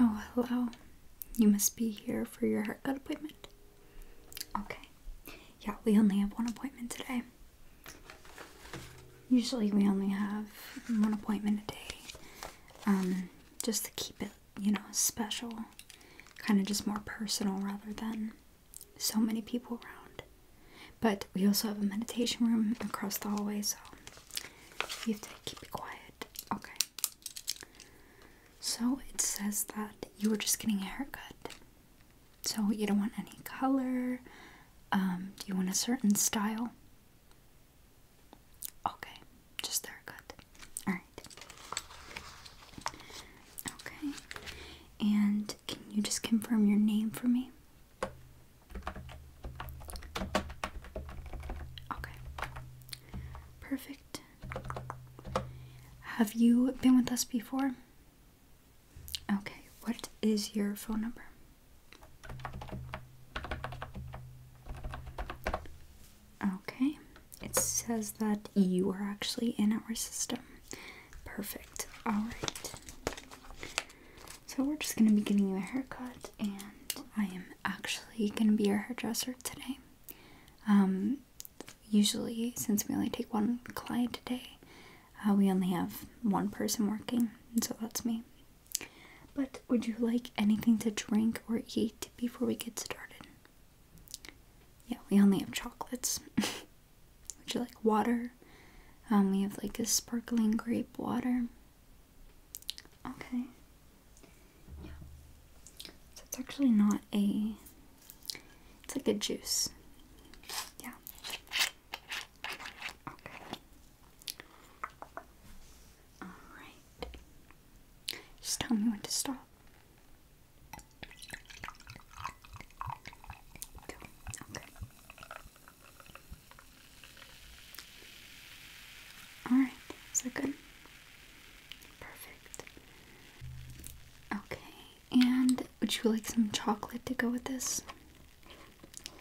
Oh, hello. You must be here for your heart haircut appointment. Okay. Yeah, we only have one appointment today. Usually we only have one appointment a day. Um, just to keep it, you know, special. Kind of just more personal rather than so many people around. But we also have a meditation room across the hallway, so you have to keep it quiet. Okay. So it says that you were just getting a haircut. So you don't want any color. Um, do you want a certain style? Okay, just the haircut. Alright. Okay. And can you just confirm your name for me? Okay. Perfect. Have you been with us before? Okay. What is your phone number? Okay. It says that you are actually in our system. Perfect. Alright. So we're just gonna be giving you a haircut and I am actually gonna be your hairdresser today. Um, usually since we only take one client today, uh, we only have one person working, and so that's me. But would you like anything to drink or eat before we get started? Yeah, we only have chocolates. Would you like water? Um, we have like a sparkling grape water. Okay. Yeah. So it's actually not a. It's like a juice. Yeah. Okay. Alright. Just tell me when to stop. Okay. Alright, is that good? Perfect. Okay, and would you like some chocolate to go with this?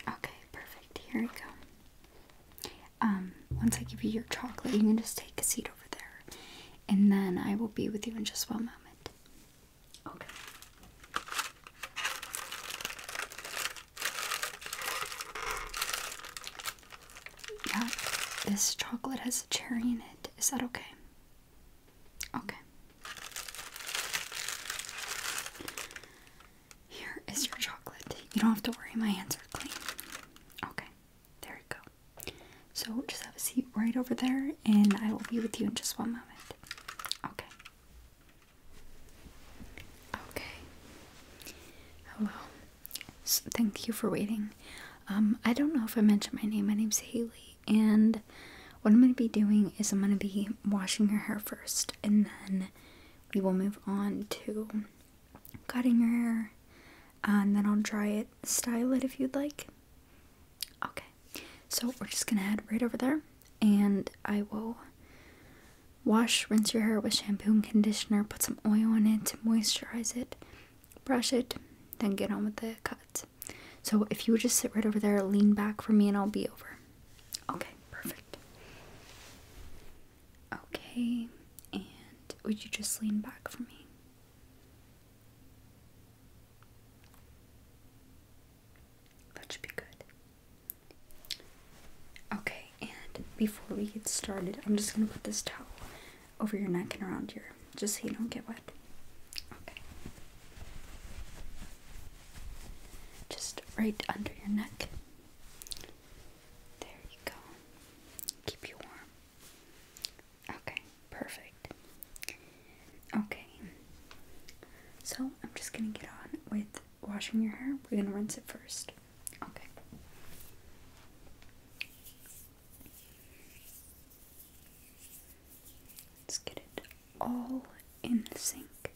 Okay, perfect. Here we go. Um, once I give you your chocolate, you can just take a seat over there. And then I will be with you in just one moment. Okay. Yeah, this chocolate has a cherry in it. Is that okay? Okay. Here is your chocolate. You don't have to worry, my hands are clean. Okay, there you go. So just have a seat right over there and I will be with you in just one moment. Okay. Okay. Hello. Oh, thank you for waiting. Um, I don't know if I mentioned my name. My name's Haley, and what I'm going to be doing is I'm going to be washing your hair first, and then we will move on to cutting your hair, uh, and then I'll dry it, style it if you'd like. Okay so we're just gonna head right over there, and I will wash, rinse your hair with shampoo and conditioner, put some oil on it to moisturize it, brush it, then get on with the cut. So if you would just sit right over there, lean back for me, and I'll be over. Okay, perfect. Okay, and would you just lean back for me? That should be good. Okay, and before we get started, I'm just gonna put this towel over your neck and around your just so you don't get wet. Okay. Just right under your neck. There you go. Keep you warm. Okay. Perfect. Okay. So I'm just gonna get on with washing your hair. We're gonna rinse it first. Okay. Let's get it all in the sink.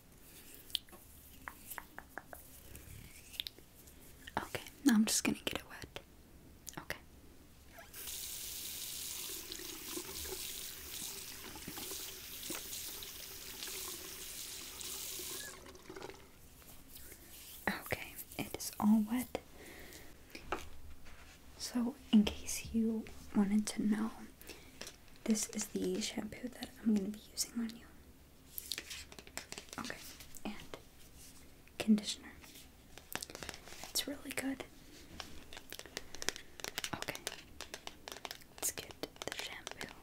Okay, now I'm just gonna get it wet. Okay. Okay, it is all wet. So, in case you wanted to know, this is the shampoo that I'm going to be using on you. Okay, and conditioner. It's really good. Okay, let's get the shampoo.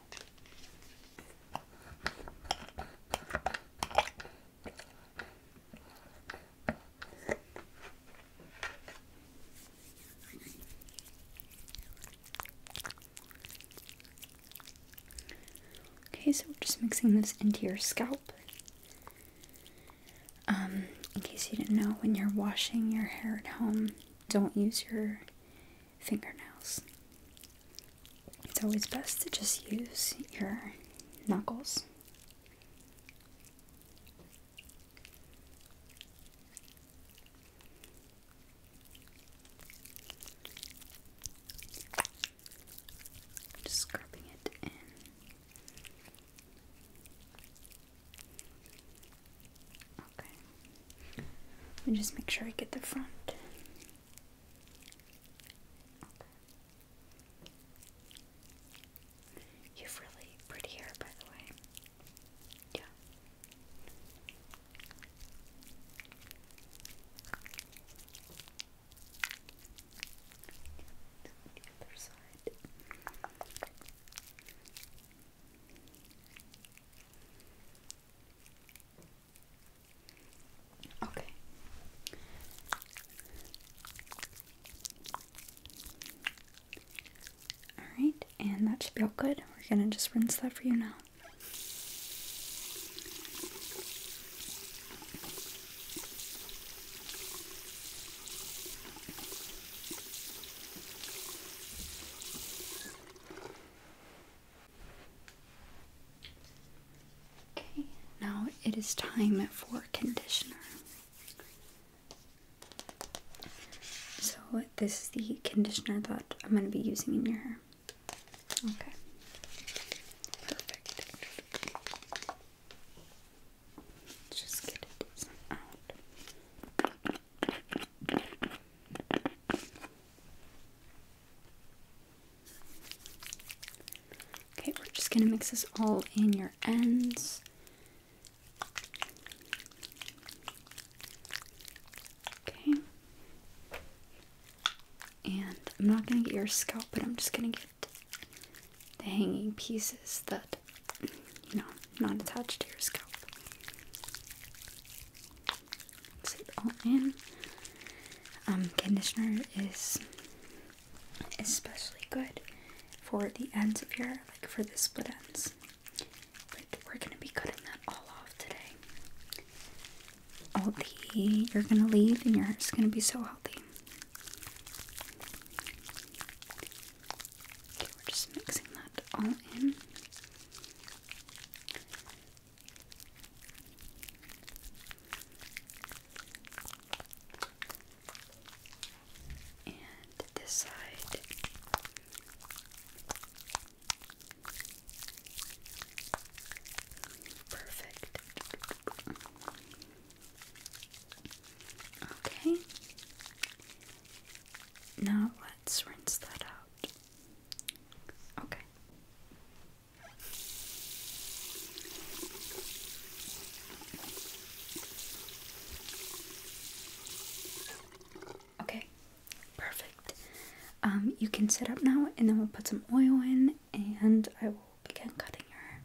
Okay, so we're just mixing this into your scalp. Um, in case you didn't know, when you're washing your hair at home, don't use your fingernails. It's always best to just use your knuckles. Just scrubbing it in. Okay. me just make sure I get the front. You have really pretty by the way. Yeah. The other side. Okay. Alright, and that should feel good. We're gonna just rinse that for you now. Okay, now it is time for conditioner. So, this is the conditioner that I'm going to be using in your hair. Okay. Perfect. Just get some out. Okay, we're just gonna mix this all in your ends. Okay. And I'm not gonna get your scalp, but I'm just gonna get the hanging pieces that you know not attached to your scalp. Mix all in. Um, conditioner is especially good for the ends of your like for the split ends. But we're gonna be cutting that all off today. All the you're gonna leave and your hair's gonna be so healthy. Okay, we're just mixing that all in. And this side. Perfect. Okay. Now let's rinse that out. Okay. Okay, perfect. Um, you can sit up now, and then we'll put some oil in, and I will begin cutting your hair.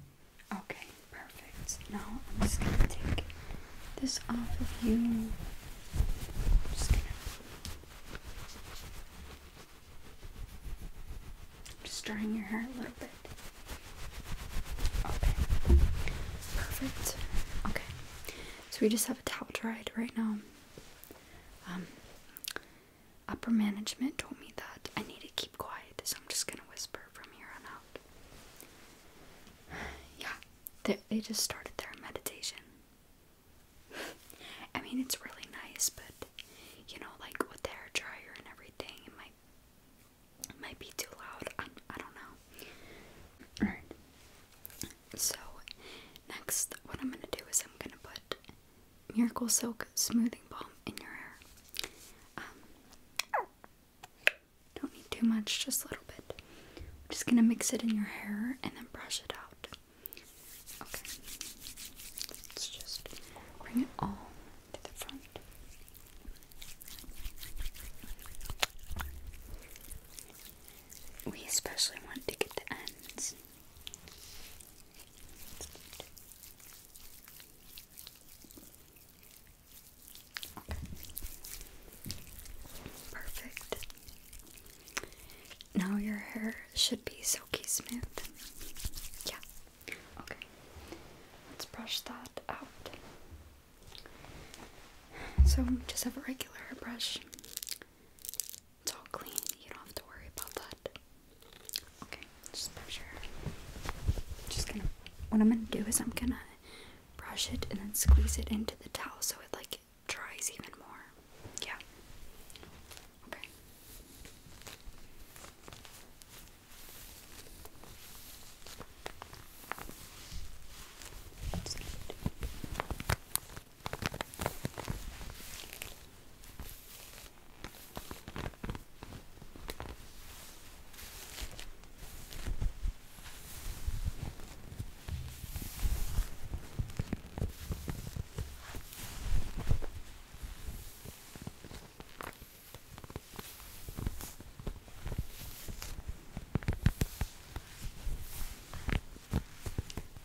Okay, perfect. Now I'm just gonna take this off of you. I'm just gonna just drying your hair a little bit. Okay. Perfect. Okay. So we just have a towel dried right now. Um, upper management told me that I need to keep quiet, so I'm just gonna whisper from here on out. yeah, they, they just started their meditation. I mean, it's really nice, but you know, like with the hair dryer and everything, it might it might be too loud. I'm, I do not know. Alright. So, next, what I'm gonna do is I'm gonna put Miracle Silk Smoothing Balm in your hair. Um, don't need too much, just a little bit. just gonna mix it in your hair and then brush it out. Okay. Let's just bring it all to the front. We especially want to get the ends. Perfect. Now your hair should be silky smooth. Yeah. Okay. Let's brush that out. So just have a regular hairbrush. It's all clean. You don't have to worry about that. Okay, just brush your Just gonna. What I'm gonna do is I'm gonna brush it and then squeeze it into the towel so it like dries even more. Yeah. Okay.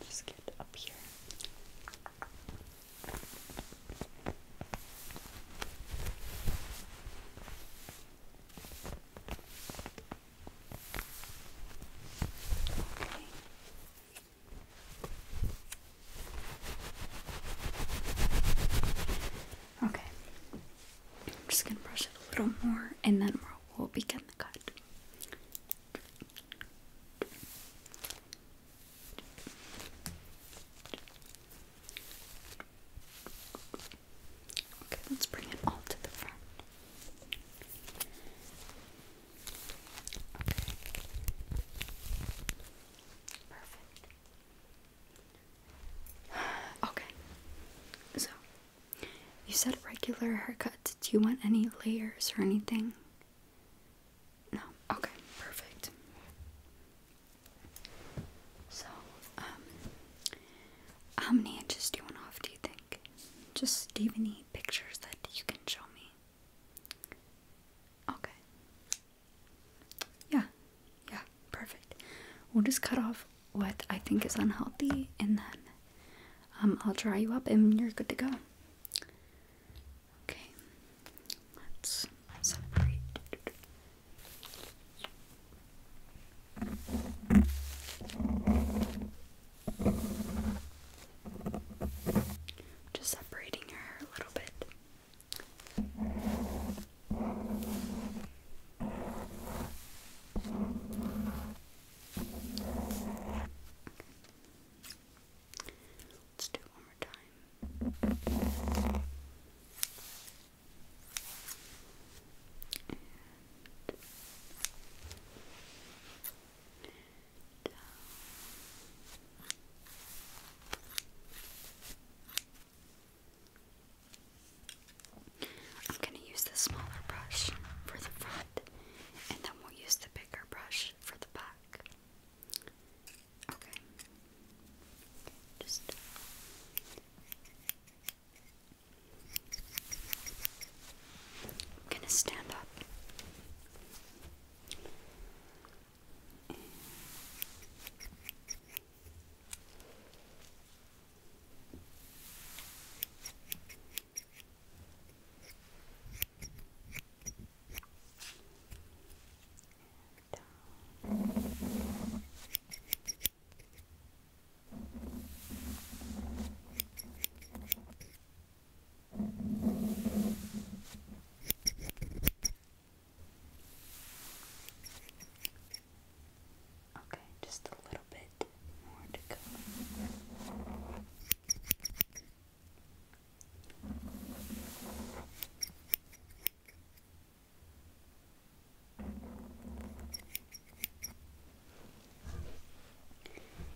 Just get it up here. Okay. I'm just gonna brush it a little more and then we'll, we'll begin the cut. Okay, let's bring it all to the front. Okay. Perfect. Okay. So, you said regular haircut. Do you want any layers or anything? No. Okay, perfect. So, um, how many inches do you want off, do you think? Just, do you have pictures that you can show me? Okay. Yeah, yeah, perfect. We'll just cut off what I think is unhealthy and then um, I'll dry you up and you're good to go. Okay, let's separate. Just separating your hair a little bit. Let's do it one more time. And down. I'm going to use the smaller brush for the front, and then we'll use the bigger brush for the back. Just. I'm gonna stand up down. Okay, just a little bit more to go.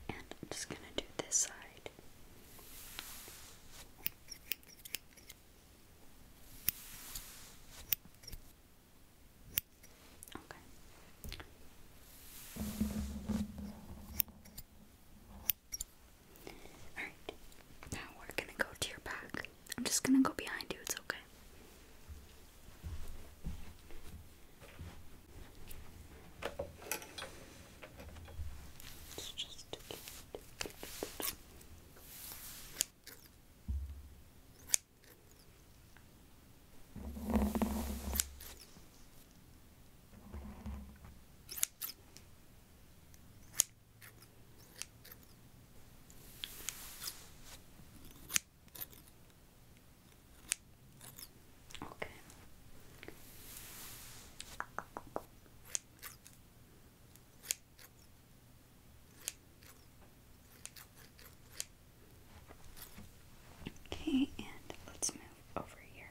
I'm just going to do this side. Okay. All right. Now we're going to go to your back. I'm just gonna go behind you, it's okay. Okay. Okay, and let's move over here.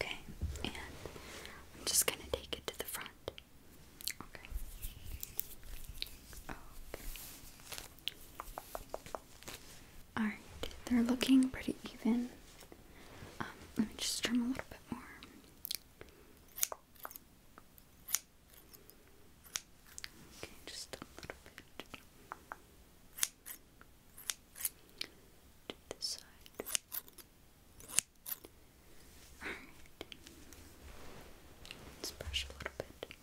Okay, and I'm just going to take it to the front. Okay. Okay. Alright, they're looking pretty even. Um, let me just trim a little bit bit more. Okay, just a little bit. To this side. Alright. brush a little bit.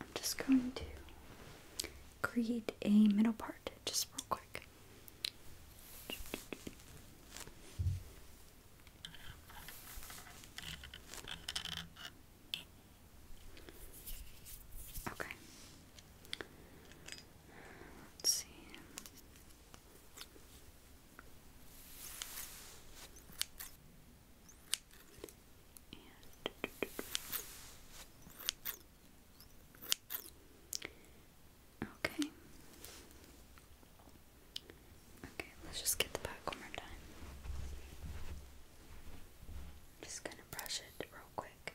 I'm just going to create a middle part just real quick. Okay. Let's see. And okay. Okay, let's just get the back one more time. just gonna brush it real quick.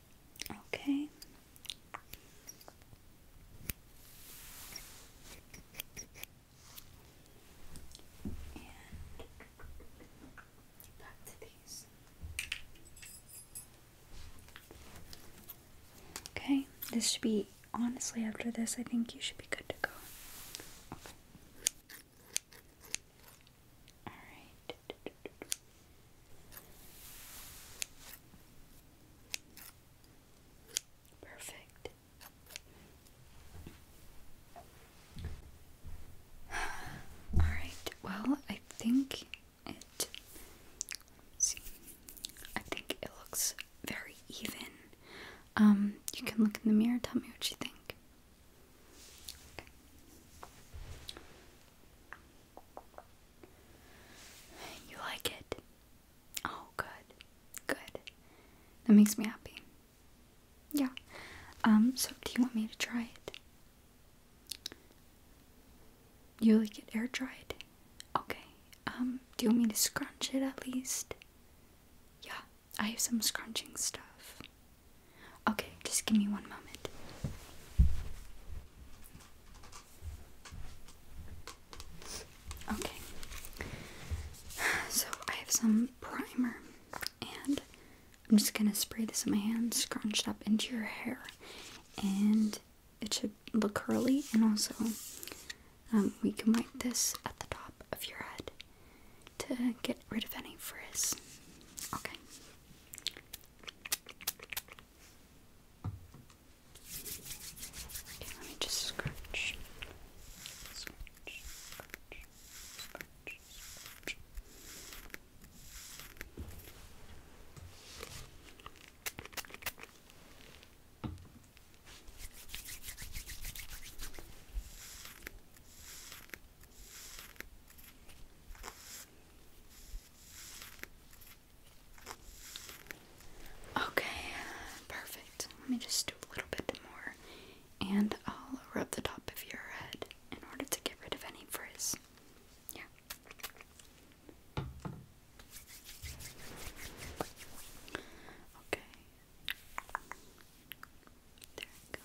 Okay. Okay, this should be honestly after this, I think you should be good to go. Alright. Perfect. All right. Well, I think it. I think it looks very even. Um, you can look in the mirror. Tell me what you think. You like it? Oh, good. Good. That makes me happy. Yeah. Um, so do you want me to try it? You like it air dried? Okay. Um, do you want me to scrunch it at least? Yeah, I have some scrunching stuff. Okay, just give me one moment. Okay. So I have some primer and I'm just gonna spray this in my hand, scrunched up into your hair, and it should look curly. And also, um, we can wipe this at the top of your head to get rid of any frizz. Okay. Okay, let me just scratch. Scratch, scratch, scratch, scratch. Okay, perfect. Let me just do a little bit more and I'll rub the top of your head in order to get rid of any frizz. Yeah. Okay. There we go.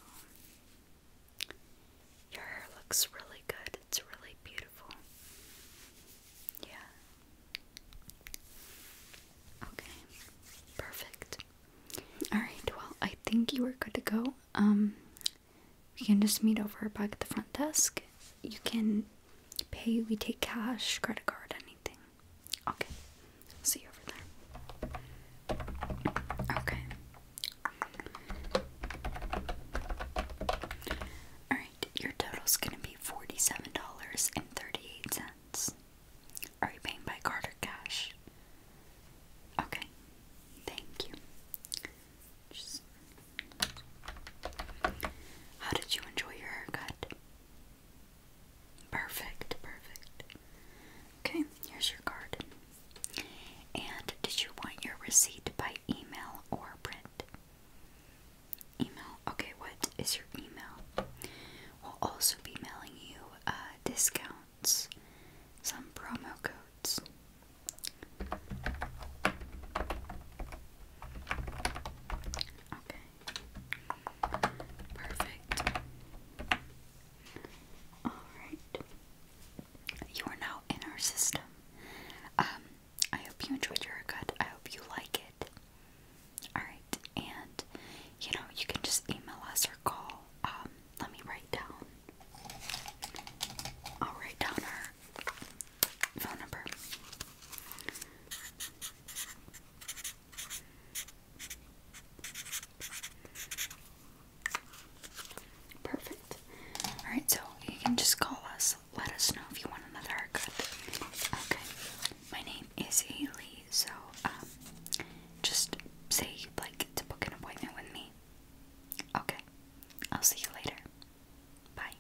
Your hair looks really good. It's really beautiful. Yeah. Okay. Perfect. Alright, well, I think you are good to go. Um, we can just meet over back at the front desk. You can pay, we take cash, credit card, anything. Okay. See you over there. Okay. Alright, your total's gonna be $47.38. Are you paying by card or cash? Okay, thank you. How did you enjoy your haircut? Perfect, perfect. Okay, here's your card. And did you want your receipt by email or print? Email. Okay, what is your email? We'll also be mailing you uh, discounts, some promo codes. Okay. Perfect. Alright you are now in our system. Um, I hope you enjoyed your haircut. I hope you like it. Alright, and you know, you can just email us or call. Um, let me write down. I'll write down our phone number. Perfect. Alright, so you can just call us. Let us know if you want another haircut. Okay. My name is Haley, so um, just say you'd like to book an appointment with me. Okay. I'll see you later. Bye.